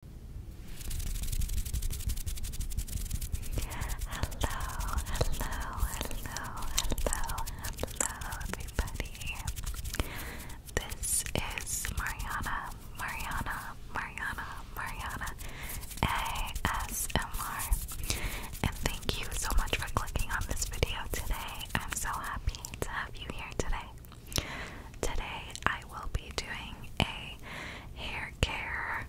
hello, hello, hello, hello, everybody. This is Mariana, Mariana, Mariana, Mariana ASMR. And thank you so much for clicking on this video today. I'm so happy to have you here today. Today I will be doing a hair care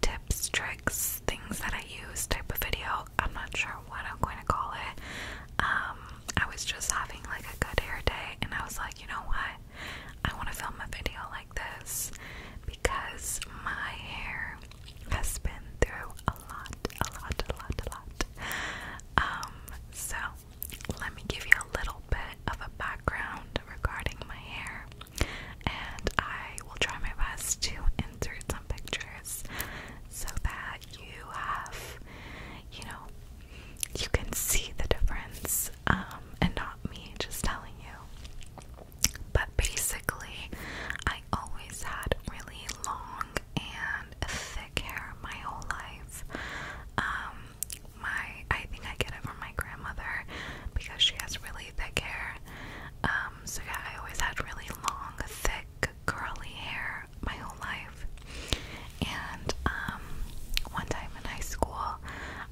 tips, tricks, things that I use type of video. I'm not sure what I'm going to call it. Um, I was just having like a good hair day and I was like, you know what? I want to film a video like this because my hair has been through a lot, a lot, a lot, a lot. Um, so let me give you a little bit of a background regarding my hair, and I will try my best to insert some pictures so that you have, you know, you can see the difference, um, and not me just telling you. But basically, I always had really long and thick hair my whole life. Um, my I think I get it from my grandmother because she has really thick hair. Um, so yeah, I always had really long, thick, curly hair my whole life. And um, one time in high school,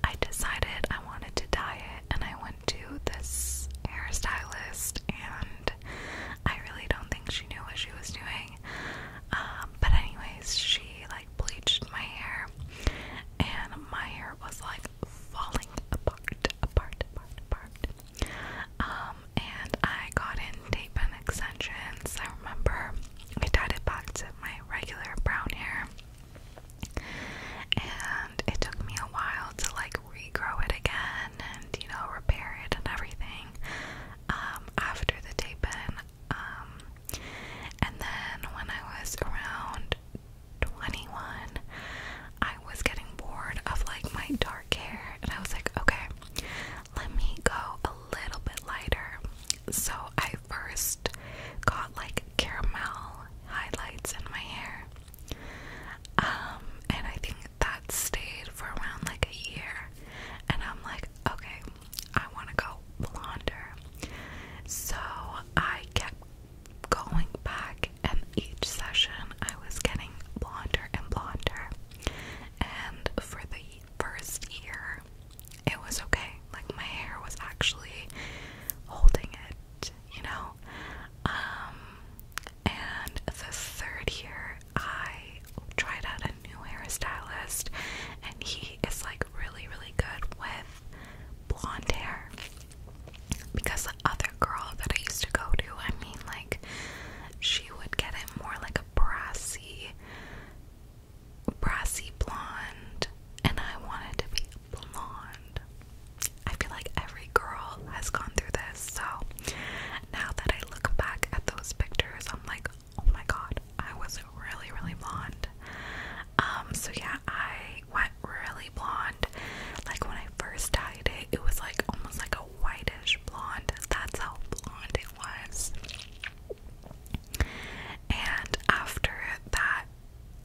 I decided I wanted to dye it, and I went to this hairstylist, and I really don't think she knew what she was doing. Um, but anyways, she like bleached my hair and my hair was like falling apart, apart, apart, apart. Um, and I got in tape and extensions. I remember I dyed it back to my regular brown hair. And it took me a while to like regrow it again and you know repair it and everything. Um, after the tape in, um, and then when I was around 21, I was getting bored of like my dark hair, and I was like, okay, let me go a little bit lighter. So I first got like caramel highlights in my hair. Um, and I think that stayed for around like a year. And I'm like, okay, I want to go blonder. So I kept going back, and each session I was getting blonder and blonder. And for the first year, it was okay. Like my hair was actually holding it, you know. Um, and the third year, I tried out a new hairstylist, and he is like really, really good with blonde hair. Because the other girl that I used to go to, I mean, like, she would get it more like a brassy, brassy blonde, and I wanted to be blonde. I feel like every girl has gone through this, so now that I look back at those pictures, I'm like, oh my god, I was really, really blonde. Um, so yeah, I went really blonde. Like when I first dyed it, it was like almost like a whitish blonde. That's how blonde it was. And after that,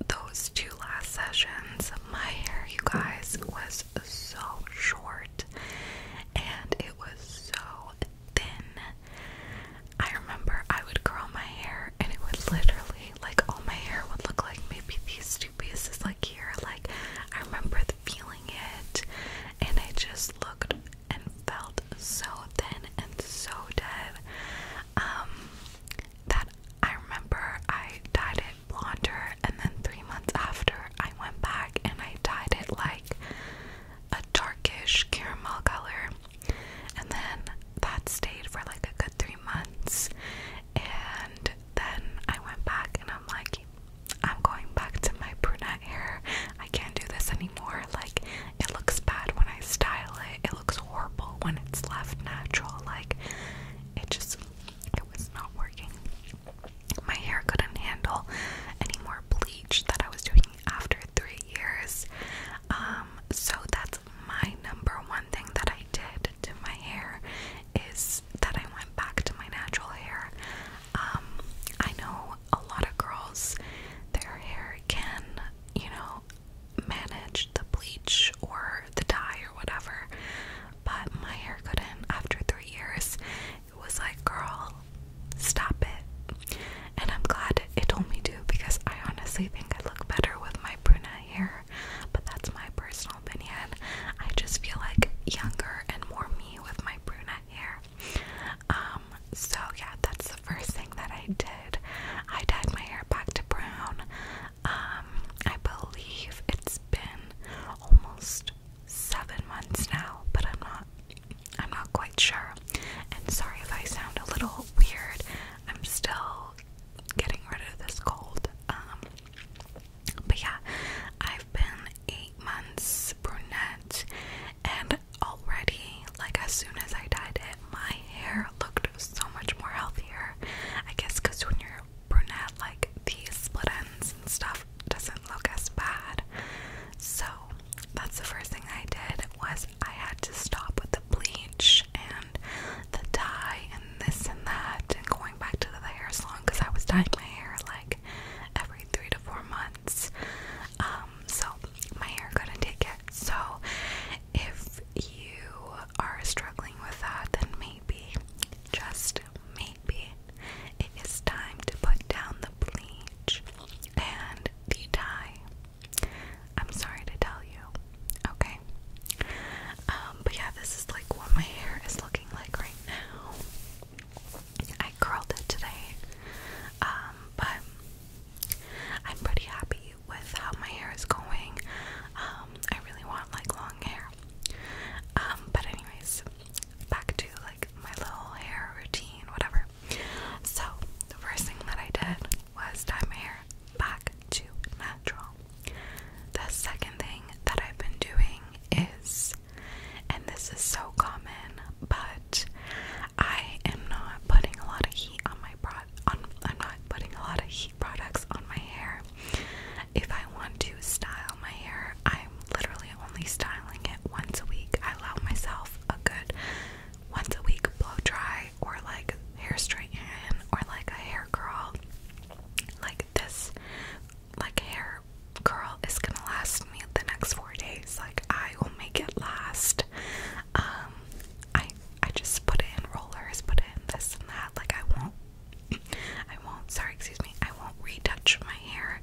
those two last sessions, my hair, you guys, was so short and it was so thin I remember I would curl my hair and it would literally, like, all my hair would look like maybe these two pieces, like here. Like, I remember feeling it, and it just looked and felt so thin and so dead. Um, that I remember I dyed it blonder, and then three months after, I went back and I dyed it like a darkish caramel color. And then that stayed for like a good three months. And then I went back and I'm like, I'm going back to my brunette hair. I can't do this anymore. Like, it looks bad when I style it, it looks horrible when it's left natural. Like, it just, it was not working. My hair couldn't handle any more bleach that I was doing after three years. Um, so that's my number one thing that I did to my hair is that I went back to my natural hair. Um, I know a lot of girls, their hair can, you know, manage the bleach or the dye or whatever, but my hair couldn't after three years. It was like, girl, stop it and I'm glad it told me to because I honestly think I look better with my brunette hair, but that's my personal opinion. I just feel like younger and more me with my brunette hair. Um, so yeah, that's the first thing that I did. I dyed my hair back to brown. Um, I believe it's been almost seven months now, but I'm not I'm not quite sure. And sorry if I sound a little weird. I'm still getting rid of this cold. Um, but yeah, I've been eight months brunette, and already, like as soon as I dyed it, my hair looked so much more healthier. I guess because when you're brunette, like these split ends and stuff doesn't look as bad. So that's the first thing I did was I had to stop with the bleach and and the dye and this and that and going back to the hair salon because I was dyeing my hair like every three to four months. Um, so my hair couldn't take it. So if you are struggling with that, then maybe, just maybe, it is time to put down the bleach and the dye. I'm sorry to tell you, okay? Um, but yeah, this is like what my hair is looking like right now. I curled it today, um, but I'm pretty happy with how my hair is going. Um, I really want like long hair. but anyways, back to like my little hair routine, whatever. So the first thing that I did was dye my hair back to natural. The second thing that I've been doing is, and this is so common, but I am not putting a lot of heat on my pro on I'm not putting a lot of heat products on my hair. If I want to style my hair, I'm literally only styling it once a week. I allow myself a good once a week blow dry or like hair straighten or like a hair curl. Like this, like hair curl is gonna last me the next four days. Like I will make it last. Um, I I just put in rollers, put in this and that. Like I won't, I won't. Sorry, excuse me. I won't retouch my hair.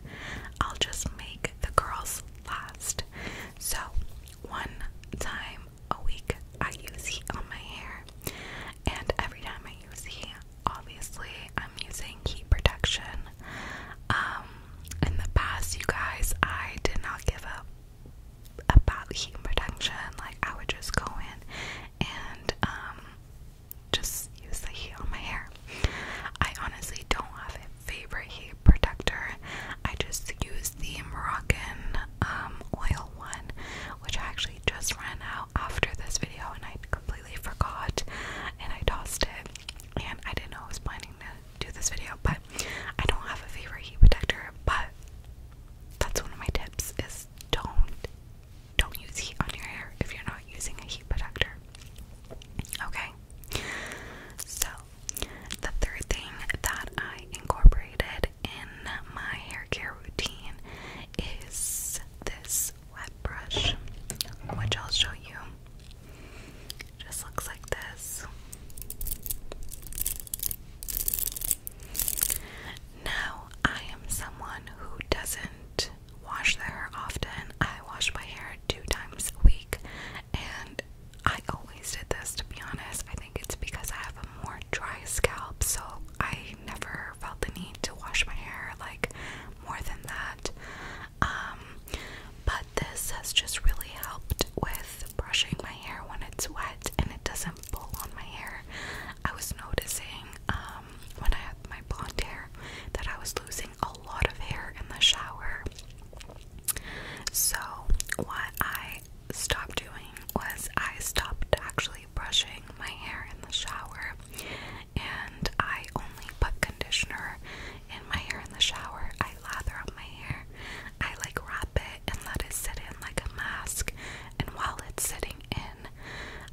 I'll just make the curls last. So one time a week I use heat on my hair. And every time I use heat, obviously I'm using heat protection. Um in the past you guys I did not give up about heat protection. Like I would just go in and um just use the heat on my hair. I honestly don't have a favorite heat protector. I just use the Moroccan um, oil one, which I actually just ran out after this video and I completely forgot and I tossed it. And I didn't know I was planning to do this video, but I don't have a favorite heat protector. But that's one of my tips: is don't don't use heat on your hair if you're not using a heat protector. Okay. So, the third thing that I incorporated in my hair care routine is this wet brush, which I'll show you. just looks like this. Now, I am someone who doesn't wash their hair often. I wash my hair two times a week, and I always did this to be honest. I think it's because I have a more dry scalp, so I never felt the need to wash my hair like more than that. Um, but this has just really helped with brushing my hair when it's wet and it doesn't pull on my hair. I was noticing um, when I had my blonde hair that I was losing a lot of hair in the shower. So, what I Stop doing was I stopped actually brushing my hair in the shower and I only put conditioner in my hair in the shower. I lather up my hair, I like wrap it and let it sit in like a mask. And while it's sitting in,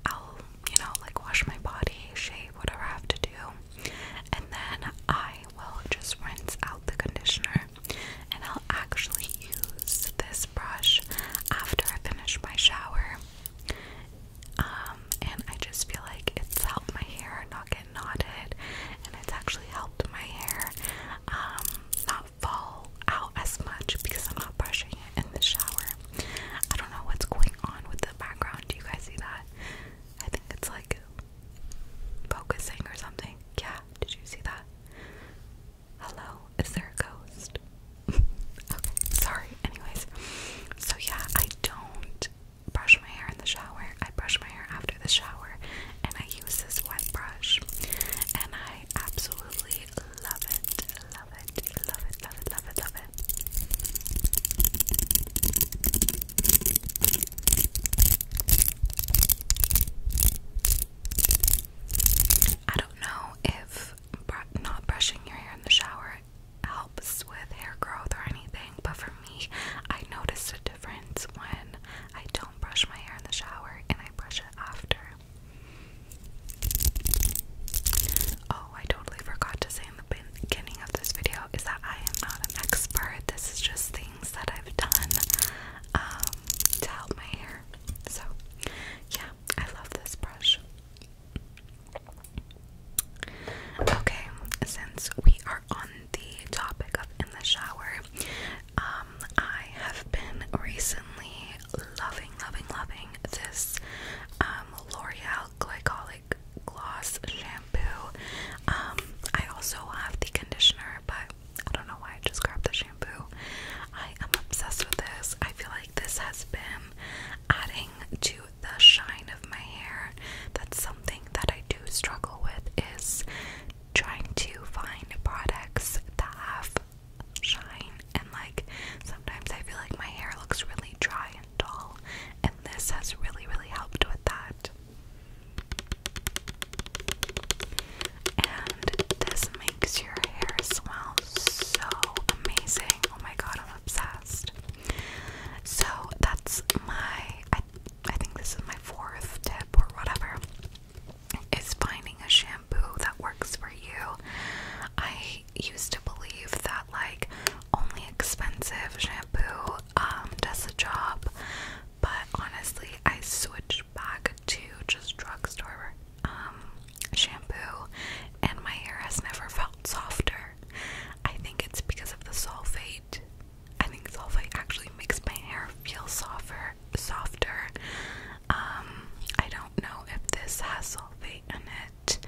I'll, you know, like wash my body, shave, whatever I have to do. And then I will just rinse out the conditioner and I'll actually use this brush after I finish my shower. Um, and I just feel like it's helped my hair not get knotted, and it's actually helped my hair um, not fall out as much because I'm not brushing it in the shower. I don't know what's going on with the background. Do you guys see that? I think it's like focusing or something. Yeah, did you see that? Hello, is there a ghost? okay, sorry. Anyways, so yeah, I don't brush my hair in the shower. I brush my hair after the shower and I use this wet brush. And I absolutely love it. Love it. Love it. Love it. Love it. Love it. I don't know if not brushing your hair in the shower helps with hair growth or anything, but for me, I noticed a difference when I don't brush my hair in the shower and I brush it after. Oh, I totally forgot to say in the beginning of this video is that I am not an expert. This is just things that I've done um, to help my hair so, yeah, I love this brush. Okay, since we are on the topic of in the shower, um, I have been recently loving, loving, loving this um, L'Oreal Glycolic Gloss Shampoo. Um, I also have the conditioner, but I don't know why I just grabbed the shampoo. I am obsessed with this. I feel like this has been adding to the shine of my hair. That's something that I do struggle with is trying to find products that have shine and like sometimes I feel like my hair looks really dry and dull and this has really really helped with that and this makes your hair smell so amazing. Oh my god, I'm obsessed. So that's my I think this is my fourth tip or whatever is finding a shampoo that works for you. I used to believe that like only expensive shampoo um, does the job, but honestly I switched back to just drugstore um, shampoo, and my hair has never felt softer. I think it's because of the sulfate. I think sulfate actually makes my hair feel softer. Softer. Um, I don't know if this has sulfate in it.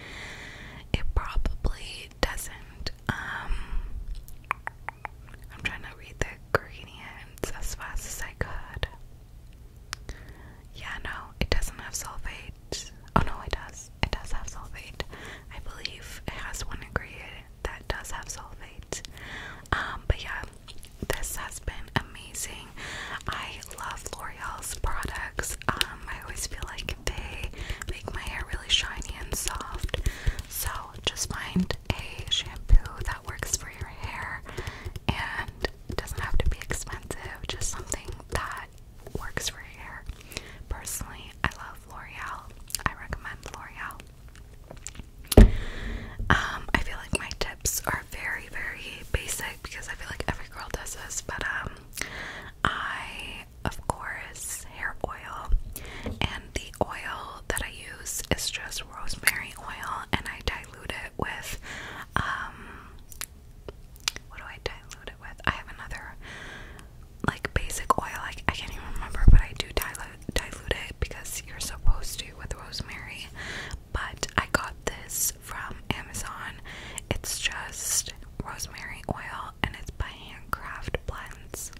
It probably doesn't. Um, I'm trying to read the ingredients as fast as I could. Yeah, no, it doesn't have sulfate. Oh no, it does. It does have sulfate. I believe it has one ingredient that does have sulfate. Um, but yeah, this has been amazing. I love L'Oreal's products. Um, I always feel like they make my hair really shiny and soft. So just find a shampoo that works for your hair and it doesn't have to be expensive, just something that works for your hair. Personally, I love L'Oreal. I recommend L'Oreal. Um, I feel like my tips are very, very basic because I feel like every girl does this, but um I of course hair oil and the oil that I use is just rosemary oil and I dilute it with um, what do I dilute it with? I have another like basic oil. I, I can't even remember, but I do dilute dilute it because you're supposed to with rosemary. But I got this from Amazon. It's just rosemary oil and it's by Handcraft Blends.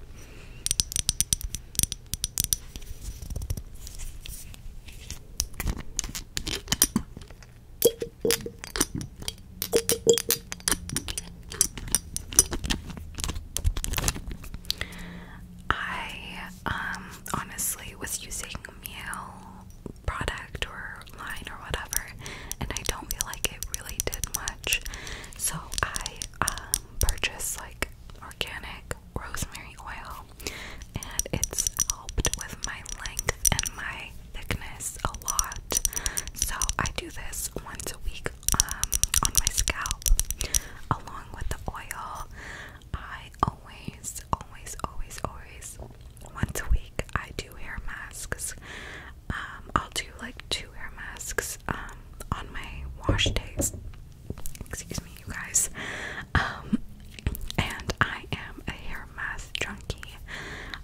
I um, honestly was using meal product or line or whatever and I don't feel like it really did much so I um, purchased like organic rosemary oil, and it's helped with my length and my thickness a lot. So I do this once a week um, on my scalp, along with the oil. I always, always, always, always, once a week I do hair masks. Um, I'll do like two hair masks um, on my wash days. Excuse me, you guys. Um, and I am a hair mask junkie.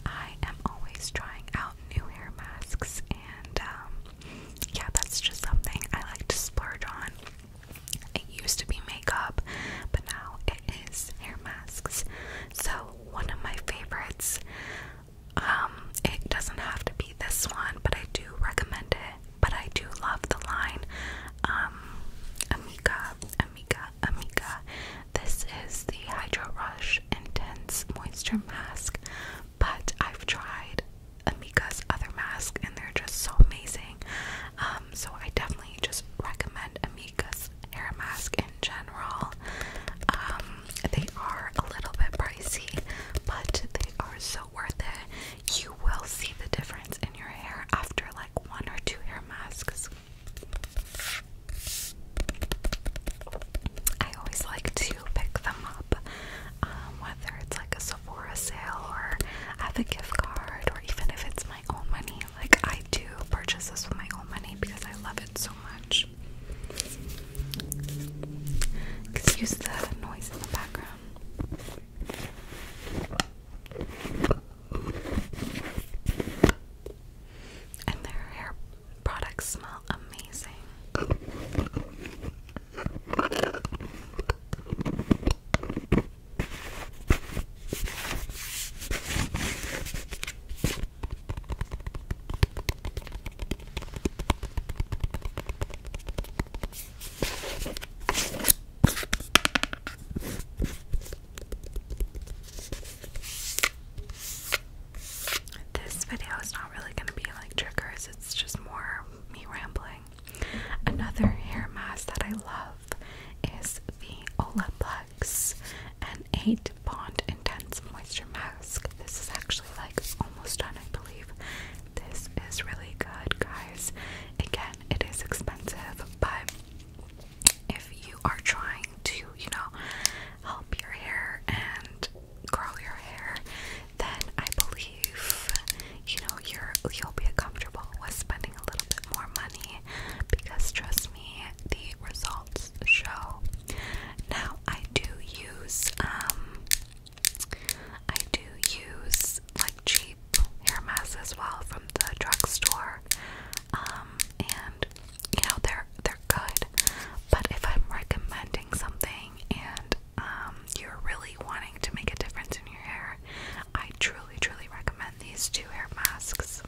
I am always trying out new hair masks, and um, yeah, that's just something I like to splurge on. It used to be makeup, but now it is hair masks. So, one of my favorites. Um, it doesn't have to be this one, but I do recommend it but I do love the line um, Amika. Amika. Amika. This is the Hydro Rush Intense Moisture Mask, but I've tried Amika's other masks, and they're just so amazing. Um, so I definitely just recommend Amika's hair mask in general. Um, they are a little bit pricey, but they are so worth it. You will see the difference difference in your hair after like one or two hair masks. I always like to pick them up, um, whether it's like a Sephora sale or I have a gift card, or even if it's my own money. Like, I do purchase this with my own money because I love it so much. Excuse the noise in the background. And their hair products smell amazing. This video is not really going to be like triggers, it's just more me rambling. Another hair mask that I love is the Olaplex an 8 Bond Intense Moisture Mask. This is actually like almost done, I believe. This is really good, guys. It it is expensive, but if you are trying to, you know, help your hair and grow your hair, then I believe, you know, you're, you'll be comfortable with spending a little bit more money because trust me, the results show. Now, I do use, um, I do use like cheap hair masks as well from the drugstore. Um, and you know they're they're good, but if I'm recommending something and um, you're really wanting to make a difference in your hair, I truly, truly recommend these two hair masks.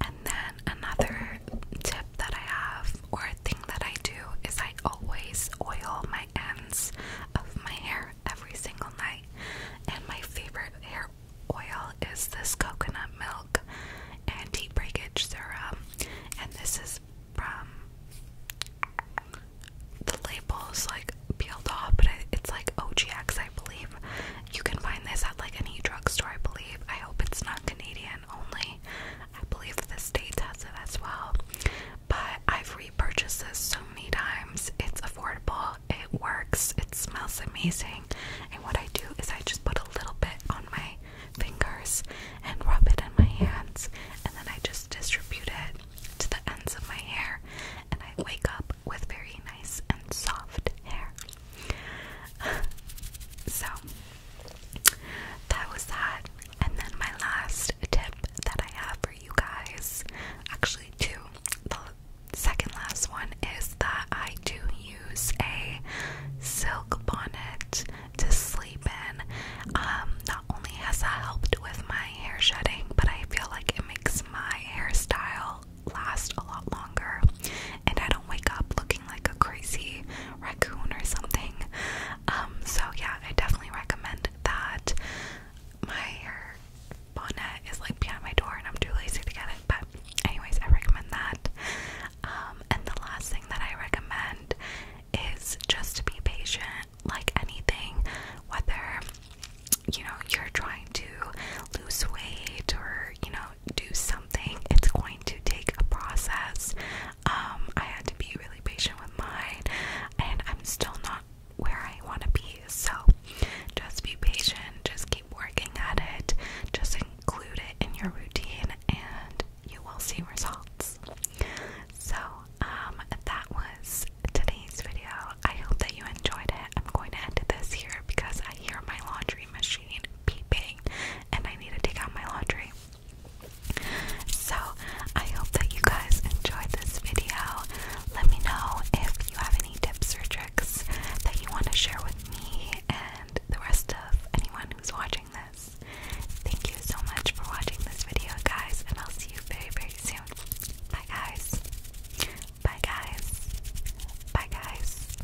And then another tip that I have or thing that I do is I always oil my ends of my hair every single night. And my favorite hair oil is this coconut milk anti breakage serum. And this is from the label's like peeled but it's like OGX, I believe. You can find this at like any drugstore, I believe. I hope it's not Canadian only. I believe the state has it as well. But I've repurchased this so many times. It's affordable, it works, it smells amazing. And what I do is I just put a little bit on my fingers and rub it in my hands, and then I just distribute it to the ends of my hair, and I wake up with very nice and soft hair. so, that was that. And then my last tip that I have for you guys, actually two. The second last one is that I do use a silk bonnet to sleep in. Um, not only has that helped with my hair shedding, but I feel like it makes my hairstyle last a lot longer and I don't wake up looking like a crazy raccoon or something. Um, so yeah, I definitely recommend that. My bonnet is like behind my door and I'm too lazy to get it, but anyways, I recommend that. Um, and the last thing that I recommend is just to be patient, like anything, whether you know you're trying to lose weight or you know do something, it's going to take a process. Um, I had to be really patient with mine, and I'm still not where I want to be. So just be patient, just keep working at it, just include it in your routine, and you will see results. So, um, that was today's video. I hope that you enjoyed it. I'm going to end this here because I hear my laundry machine beeping and I need to take out my laundry. So, I hope that you guys enjoyed this video. Let me know if you have any tips or tricks that you want to share with me and the rest of anyone who's watching this. Thank you so much for watching this video, guys, and I'll see you very, very soon. Bye, guys. Bye, guys. Bye, guys.